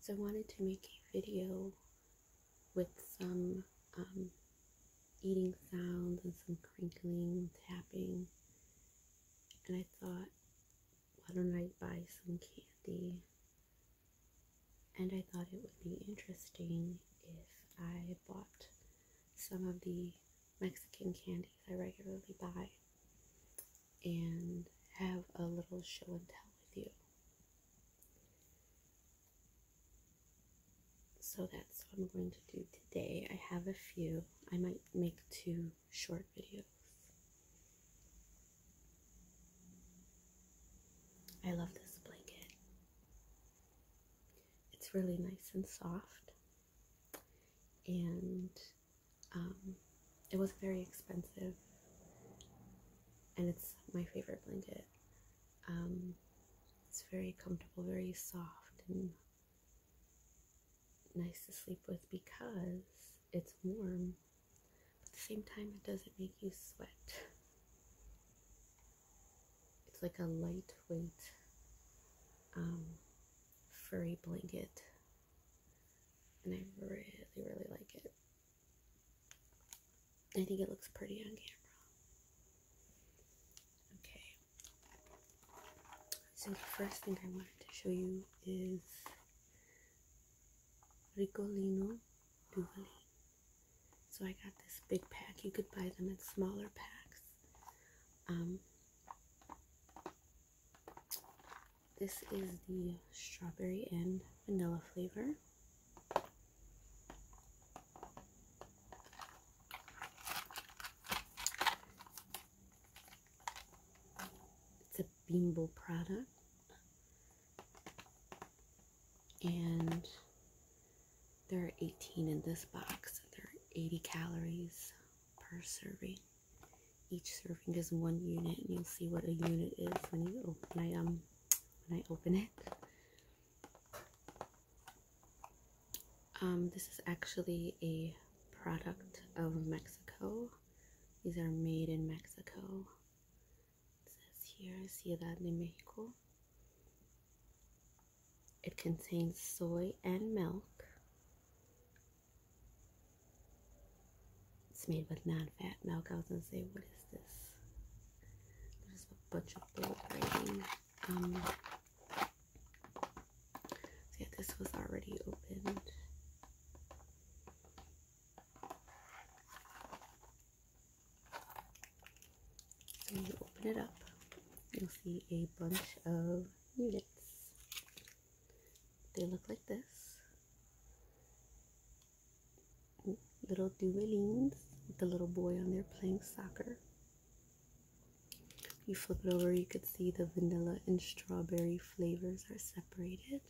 So I wanted to make a video with some um, eating sounds and some crinkling, tapping, and I thought, why don't I buy some candy? And I thought it would be interesting if I bought some of the Mexican candies I regularly buy and have a little show and tell with you. So that's what I'm going to do today. I have a few. I might make two short videos. I love this blanket. It's really nice and soft and um, it was very expensive and it's my favorite blanket um, it's very comfortable very soft and nice to sleep with because it's warm but at the same time it doesn't make you sweat it's like a lightweight um, furry blanket. And I really, really like it. I think it looks pretty on camera. Okay. So the first thing I wanted to show you is Ricolino Duvalin. So I got this big pack. You could buy them in smaller packs. Um, this is the strawberry and vanilla flavor. It's a Bimbo product. And there are 18 in this box. There are 80 calories per serving. Each serving is one unit, and you'll see what a unit is when you open I um when I open it. Um, this is actually a product of Mexico. These are made in Mexico. It says here Ciudad de Mexico. It contains soy and milk. It's made with non-fat milk. I was gonna say, what is this? This a bunch of bold writing. Um, yeah, this was already opened. So when you open it up, you'll see a bunch of units. They look like this. Little duelings with the little boy on there playing soccer. You flip it over, you could see the vanilla and strawberry flavors are separated.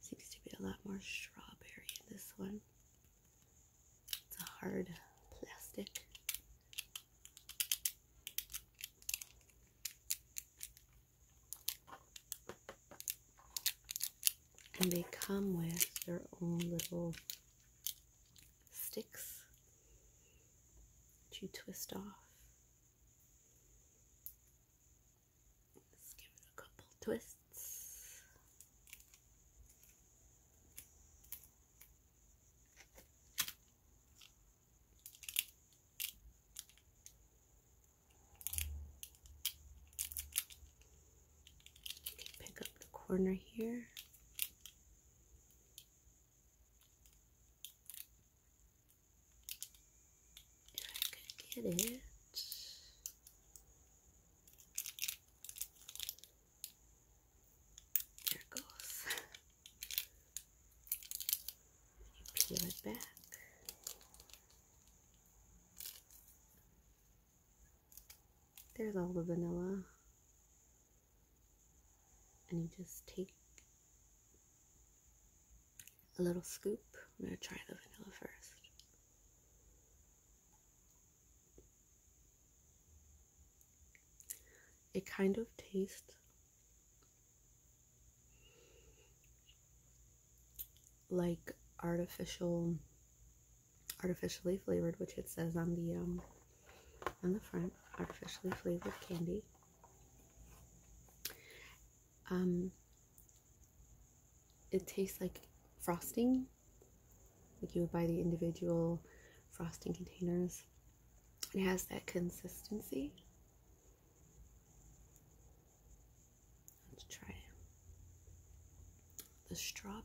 Seems to be a lot more strawberry in this one. It's a hard plastic and they come with their own little sticks that you twist off. Let's give it a couple twists. Pick up the corner here. If I could get it. There goes. You peel it back. There's all the vanilla. And you just take a little scoop. I'm going to try the vanilla first. It kind of tastes like artificial artificially flavored which it says on the um, on the front artificially flavored candy um it tastes like frosting like you would buy the individual frosting containers. It has that consistency. Let's try the strawberry.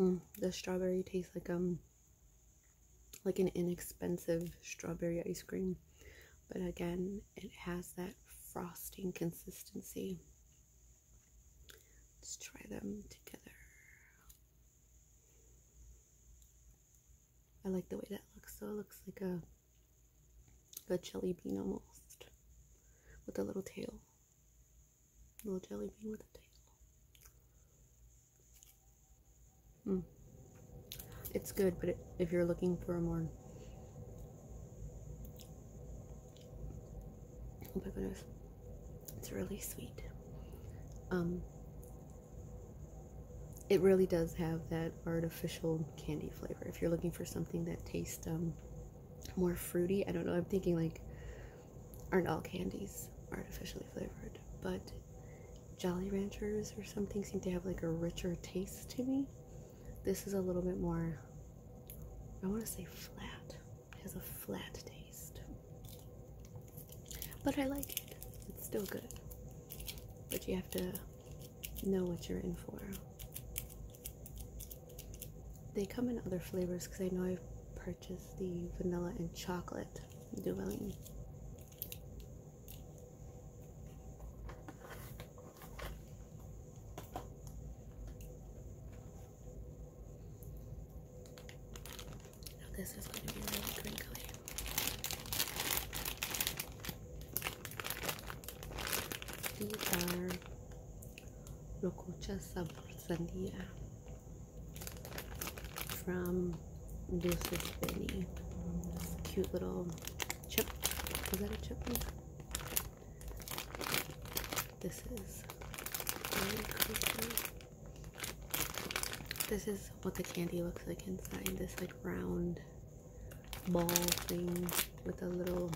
Mm, the strawberry tastes like um like an inexpensive strawberry ice cream. But again, it has that frosting consistency. Let's try them together. I like the way that looks. So it looks like a, like a jelly bean almost with a little tail. little jelly bean with a tail. Hmm. It's good, but if you're looking for a more. Oh it's really sweet. Um, it really does have that artificial candy flavor. If you're looking for something that tastes um, more fruity, I don't know, I'm thinking like aren't all candies artificially flavored, but Jolly Ranchers or something seem to have like a richer taste to me. This is a little bit more, I want to say flat. It has a flat taste. But I like it. It's still good. But you have to know what you're in for. They come in other flavors because I know I've purchased the vanilla and chocolate doing. Oh, now this is going to be really crinkly. These are Rococha Sabor from Deuces Benny. This cute little chip. Is that a chip? This is This is what the candy looks like inside. This like round ball thing with a little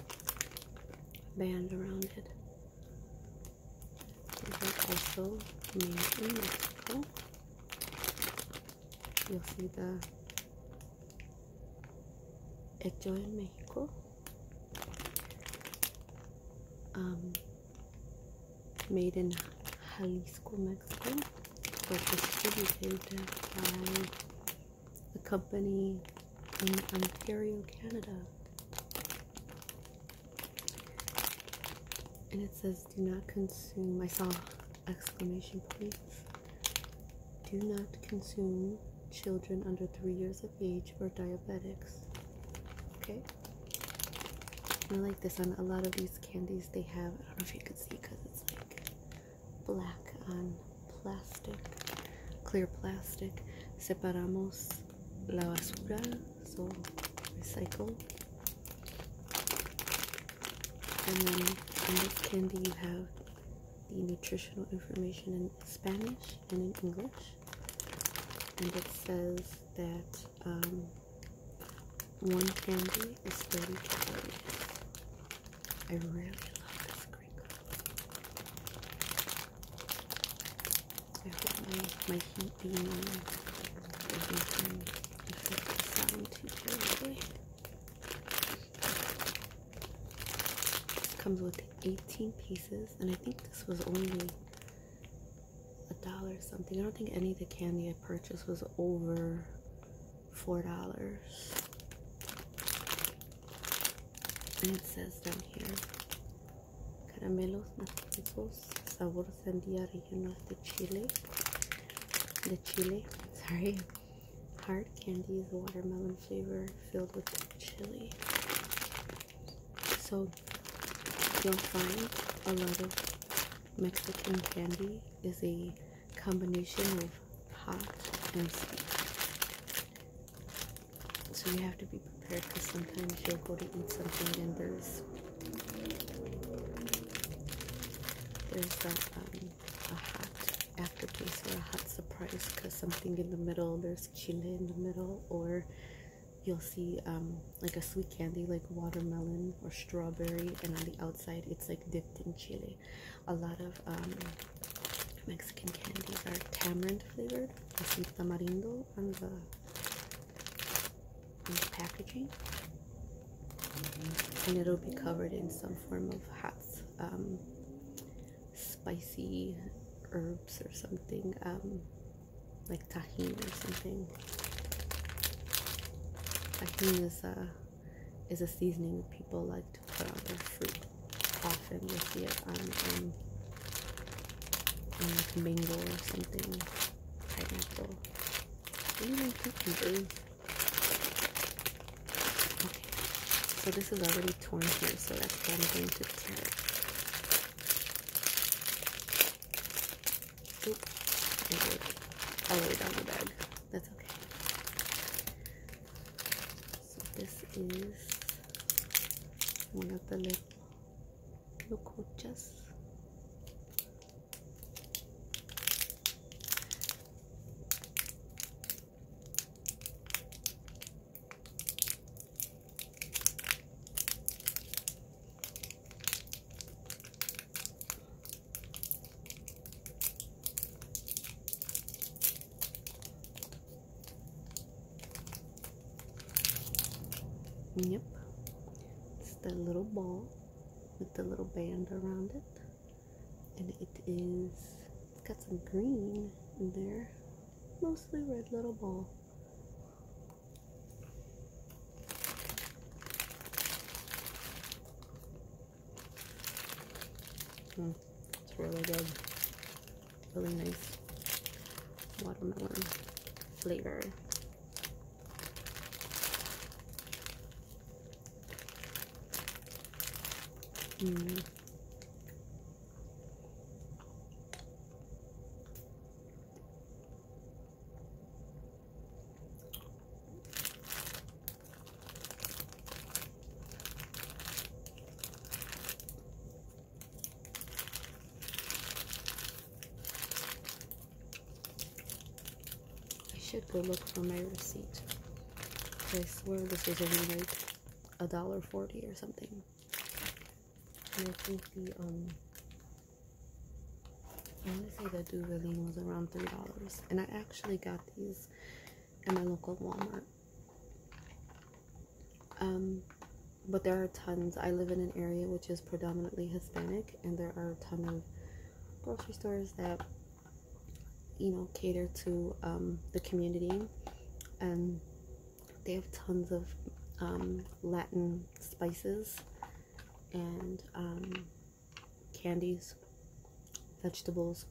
band around it also made in Mexico. You'll see the hecho in Mexico. Um, made in Jalisco, Mexico, but distributed by a company in Ontario, Canada and it says do not consume i saw exclamation points do not consume children under three years of age or diabetics okay i like this on a lot of these candies they have i don't know if you can see because it's like black on plastic clear plastic separamos la basura, so recycle. And then in this candy you have the nutritional information in Spanish and in English. And it says that um, one candy is 30 calories. I really love this crinkle. I hope my, my heat beam. on everything the sound too terribly. Comes with 18 pieces, and I think this was only a dollar something. I don't think any of the candy I purchased was over four dollars. And it says down here caramelos más ricos sabor sandía regional de chile the chile sorry hard candies watermelon flavor filled with chili so you'll find a lot of mexican candy is a combination of hot and sweet so you have to be because sometimes you'll go to eat something and there's there's a, um, a hot aftertaste or a hot surprise because something in the middle there's chili in the middle or you'll see um, like a sweet candy like watermelon or strawberry and on the outside it's like dipped in chili a lot of um, mexican candies are tamarind flavored i see tamarindo on the, packaging and it'll be covered in some form of hot um, spicy herbs or something um, like tahini or something tahini is a is a seasoning people like to put on their food. often you'll see it on um, um, like or something, I don't even Okay, so this is already torn here, so that's why I'm going to tear it. all the way down the bag. That's okay. So this is one of the Look, just. Yep, it's the little ball with the little band around it, and it is it's got some green in there, mostly red little ball. Mm, it's really good really nice watermelon flavor. Mm. I should go look for my receipt. I swear this was only like a dollar forty or something. And I think the um I want to say the Duvaline was around three dollars, and I actually got these at my local Walmart. Um, but there are tons. I live in an area which is predominantly Hispanic, and there are a ton of grocery stores that you know cater to um, the community, and they have tons of um, Latin spices and candies, vegetables.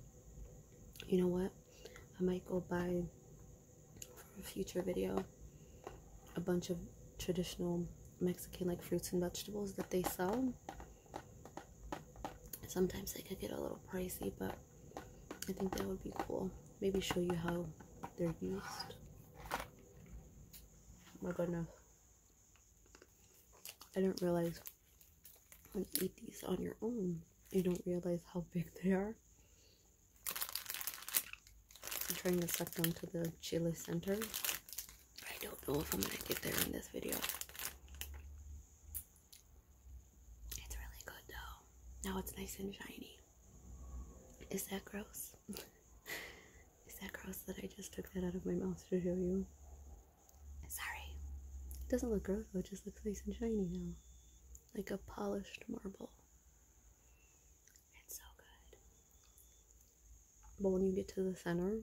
You know what? I might go buy for a future video a bunch of traditional Mexican like fruits and vegetables that they sell. Sometimes they could get a little pricey, but I think that would be cool. Maybe show you how they're used. Oh my goodness. I didn't realize when you eat these on your own, you don't realize how big they are. I'm trying to suck them to the chili center. I don't know if I'm going to get there in this video. It's really good though. Now it's nice and shiny. Is that gross? Is that gross that I just took that out of my mouth to show you? Sorry. It doesn't look gross though, it just looks nice and shiny now. Like a polished marble. It's so good. But when you get to the center,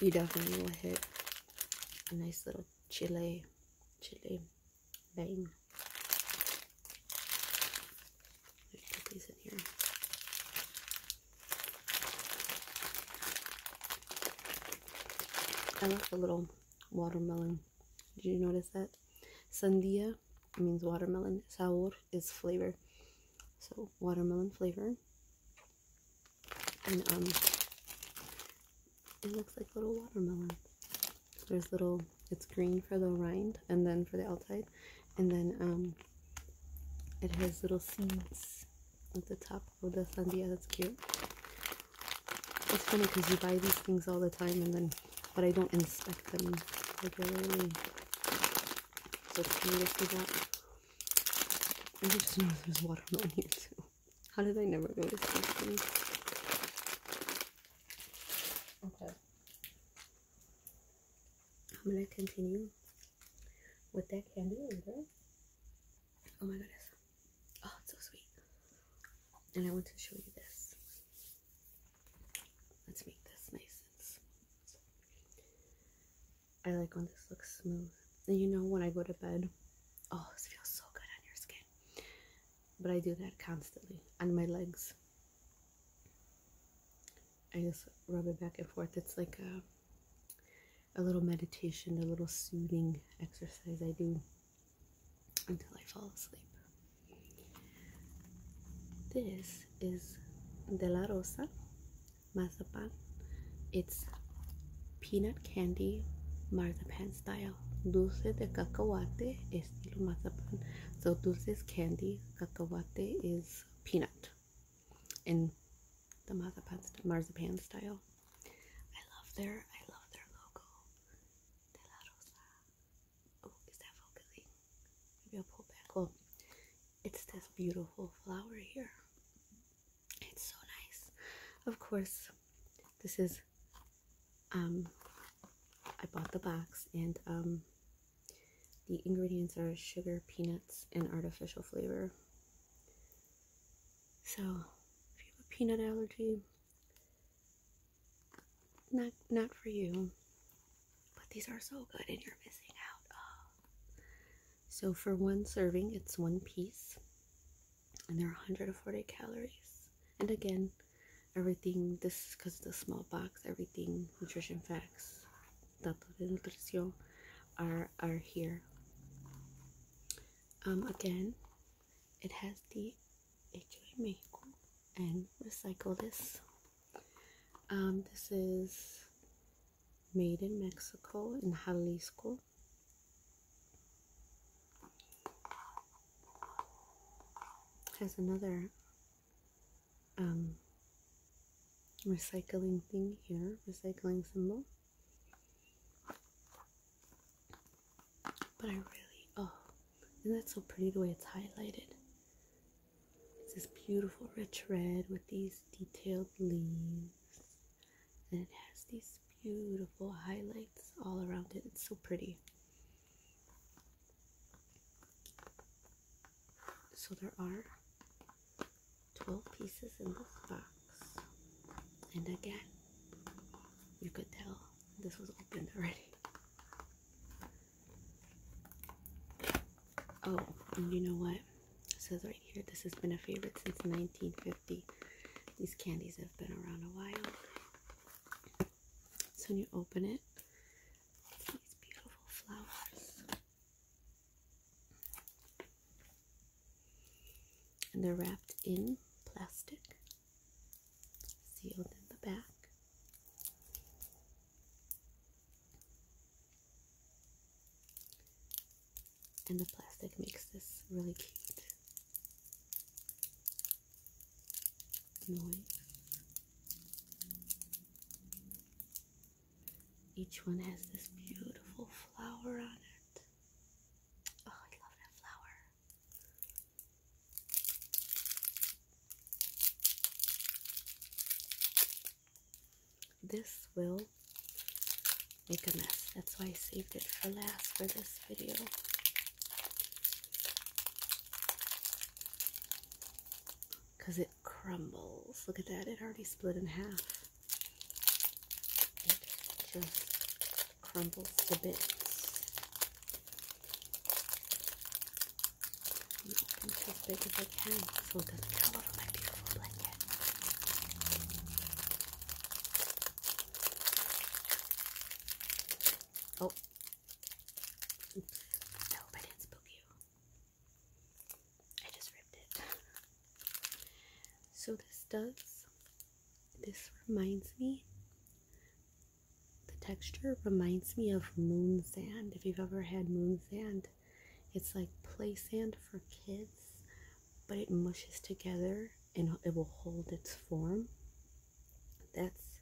you definitely will hit a nice little chili, chili bang. Let's these in here. I left a little watermelon. Did you notice that? Sandia means watermelon. Sabor is flavor. So watermelon flavor. And um, it looks like little watermelon. There's little it's green for the rind and then for the outside. And then um, it has little seeds at the top of the sandia. That's cute. It's funny because you buy these things all the time and then, but I don't inspect them regularly. So it's kind of for that. I just know there's water watermelon here too. How did I never notice these things? Okay. I'm gonna continue with that candy later. Oh my goodness. Oh, it's so sweet. And I want to show you this. Let's make this nice I like when this looks smooth. And you know, when I go to bed, oh, this feels so good on your skin. But I do that constantly on my legs. I just rub it back and forth. It's like a, a little meditation, a little soothing exercise I do until I fall asleep. This is De La Rosa Marzipan. It's peanut candy marzipan style. Dulce de cacahuate estilo marzipan. So dulce is candy, cacahuate is peanut. And the marzipan, style. I love their I love their logo de Oh, is that focusing? Maybe I'll pull back. Cool. It's this beautiful flower here. It's so nice. Of course, this is um I bought the box and um the ingredients are sugar, peanuts, and artificial flavor. So if you have a peanut allergy, not not for you. But these are so good and you're missing out. So for one serving, it's one piece. And they're 140 calories. And again, everything this because it's a small box, everything nutrition facts, datos de nutrición are are here. Um again, it has the HA Maple and recycle this. Um, this is made in Mexico in Jalisco. Has another um, recycling thing here, recycling symbol. But I really, oh, and that's so pretty the way it's highlighted. It's this beautiful rich red with these detailed leaves. And it has these beautiful highlights all around it. It's so pretty. So there are 12 pieces in this box. And again, you could tell this was opened already. Oh, and you know what? It says right here, this has been a favorite since 1950. These candies have been around a while. So when you open it, these beautiful flowers and they're wrapped in plastic, sealed in the back. And the plastic makes this really cute Each one has this beautiful flower on it. Oh, I love that flower. This will make a mess. That's why I saved it for last for this video. Because it crumbles. Look at that, it already split in half it just crumbles to bits. And it as big as I can so it doesn't my beautiful blanket. Oh. Oops. I hope I you. I just ripped it. So this does, this reminds me, the texture reminds me of moon sand. If you've ever had moon sand, it's like play sand for kids, but it mushes together and it will hold its form. That's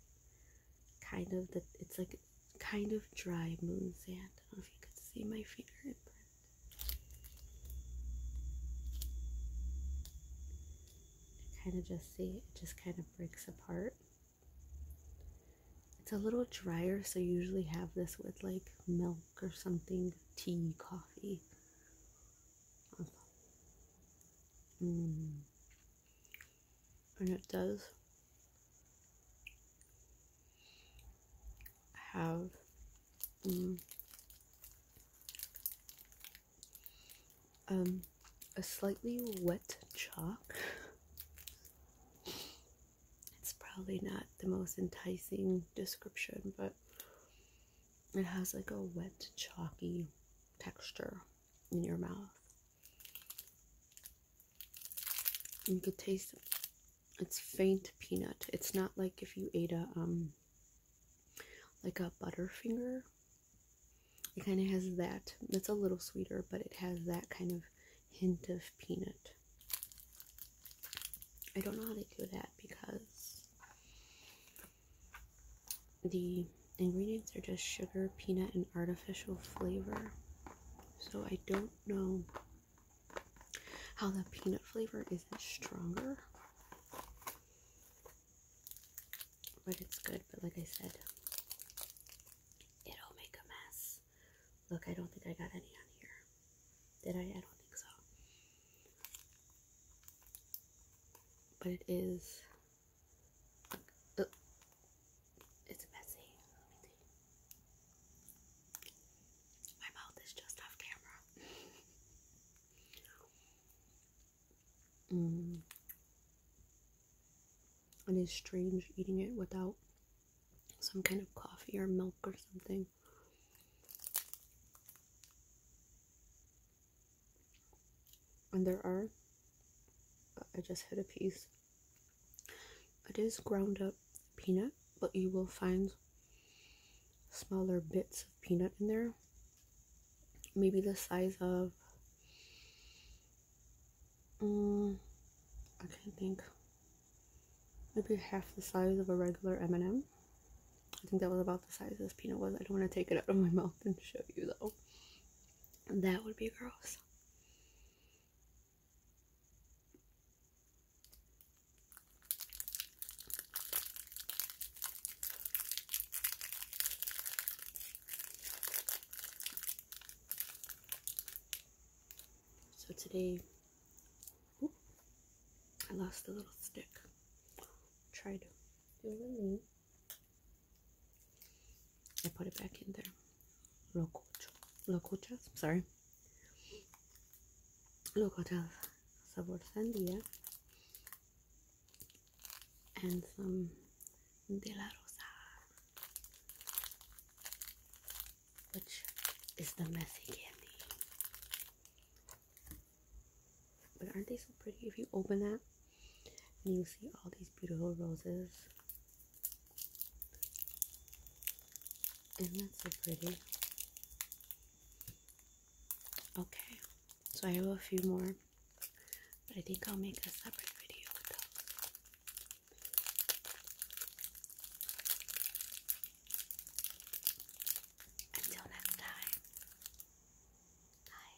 kind of the, it's like kind of dry moon sand. I don't know if you could see my finger Kind of just see it just kind of breaks apart. It's a little drier, so you usually have this with like milk or something, tea, coffee. Mm. And it does have mm, um, a slightly wet chalk. it's probably not the most enticing description, but it has like a wet, chalky texture in your mouth. You could taste it's faint peanut. It's not like if you ate a um like a butterfinger. It kind of has that. It's a little sweeter, but it has that kind of hint of peanut. I don't know how they do that because the ingredients are just sugar, peanut, and artificial flavor. So I don't know how the peanut flavor isn't stronger. But it's good, but like I said, it'll make a mess. Look, I don't think I got any on here. Did I? I don't think so. But it is. Uh, it's messy. My mouth is just off camera. Mm. it's strange eating it without some kind of coffee or milk or something. And there are, I just hit a piece. It is ground up peanut but you will find smaller bits of peanut in there. Maybe the size of, um, I can't think, maybe half the size of a regular M&M. I think that was about the size this peanut was. I don't want to take it out of my mouth and show you though. That would be gross. So today, I lost a little stick. Tried to I put it back in there. Locuchas, locuchas, sorry. Locuchas sabor sandía and some de la rosa which is the messy candy but aren't they so pretty if you open that and you see all these beautiful roses isn't that so pretty Okay, so I have a few more, but I think I'll make a separate video with those. Until next time, bye.